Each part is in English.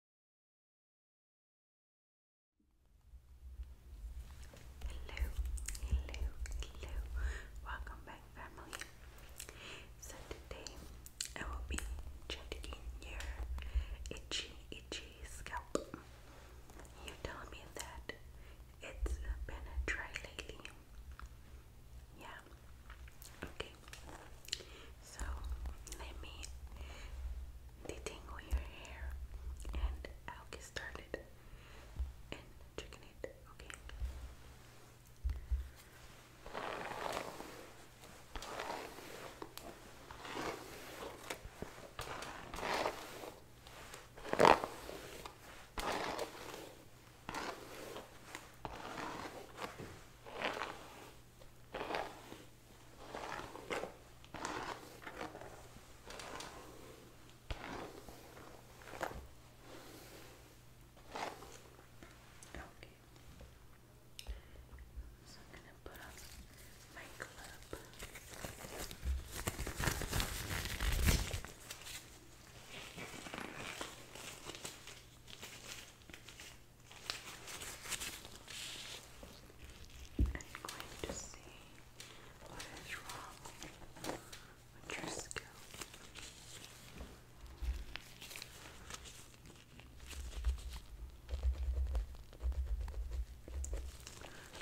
Hello, hello, hello. Welcome back, family. So today I will be checking your itchy, itchy scalp. You tell me that it's been dry lately. Yeah. Okay okay? So let me detangle your hair and I'll get started and chicken it, Okay. Okay. So I'm gonna put on my club. I'm going to see what is wrong with your scalp.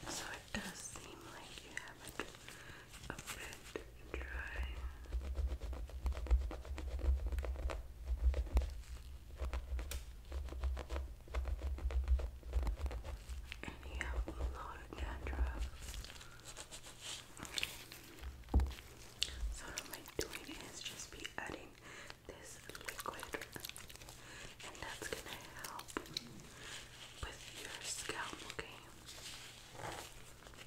So it does seem like you have a bit dry. And you have a lot of dandruff. So what I'm doing is just be adding this liquid and that's gonna help with your scalp, okay?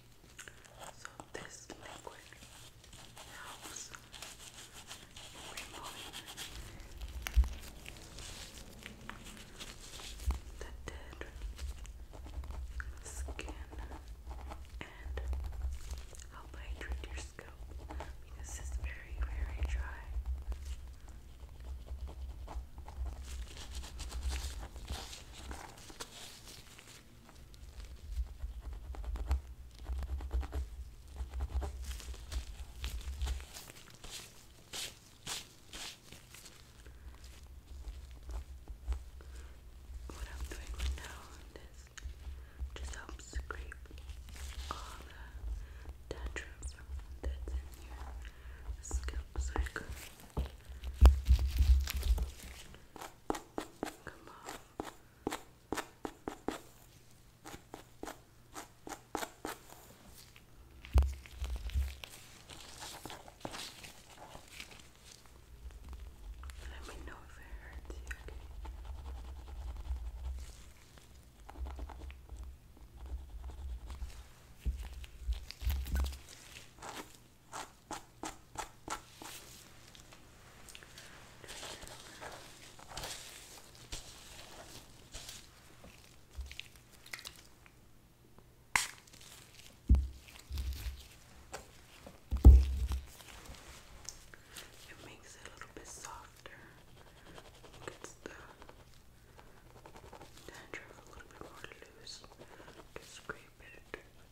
So this liquid helps remove the dead skin and help hydrate your scalp because it's very, very dry. What I'm doing right now is just help scrape all the dandruff that's in your scalp so come off. Let me know if it hurts you. Okay. It makes it a little bit softer. Gets the dandruff a little bit more loose. Just scrape it.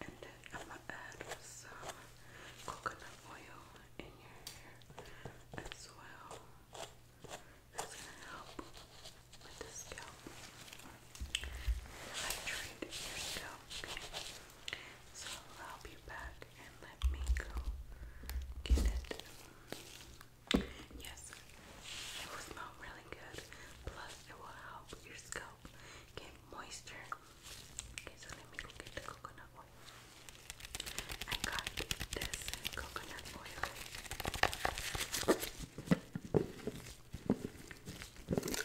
And then I'm gonna add some coconut oil in your as well. That's gonna help with the scalp. Hydrate your scalp. So I'll be back and let me go get it. Yes, it will really good. Plus, it will help your scalp get moisture. Okay, so let me go get the coconut oil. I got this coconut oil.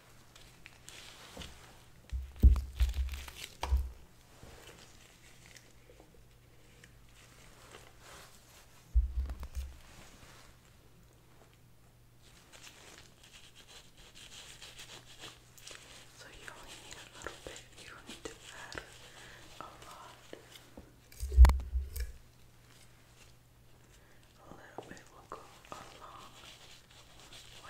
So you need a little bit, you don't need to a lot. A little bit will go a long way. Okay.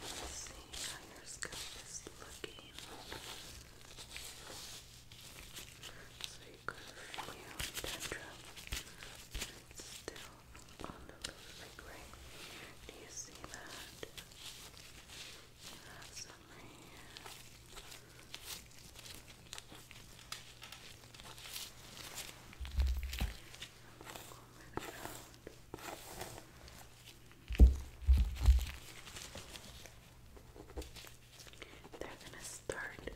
Let's see how your scalp is looking. So you could feel tendril, but it's still on the like right. Do you see that? You have they're gonna start to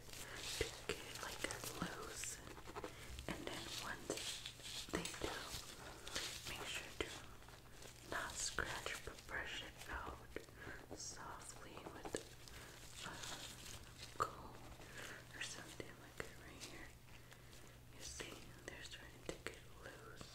get like loose, and then once they do. Make sure to not scratch but brush it out softly with a uh, comb or something like it right here. You see, they're starting to get loose.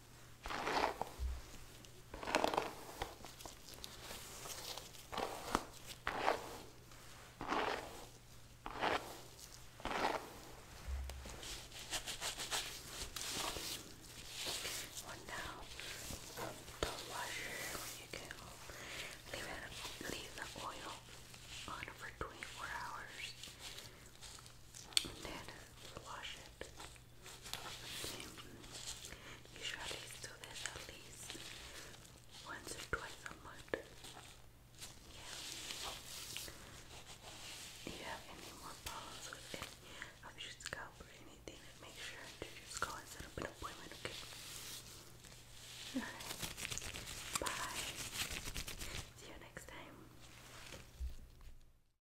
Well now, the washer, you can leave, it, leave the oil on for 24 hours then wash it. Okay. Usually do this at least once or twice a month. Yeah. If you have any more problems with any of your scalp or anything, make sure to just go and set up an appointment, okay? Bye. See you next time.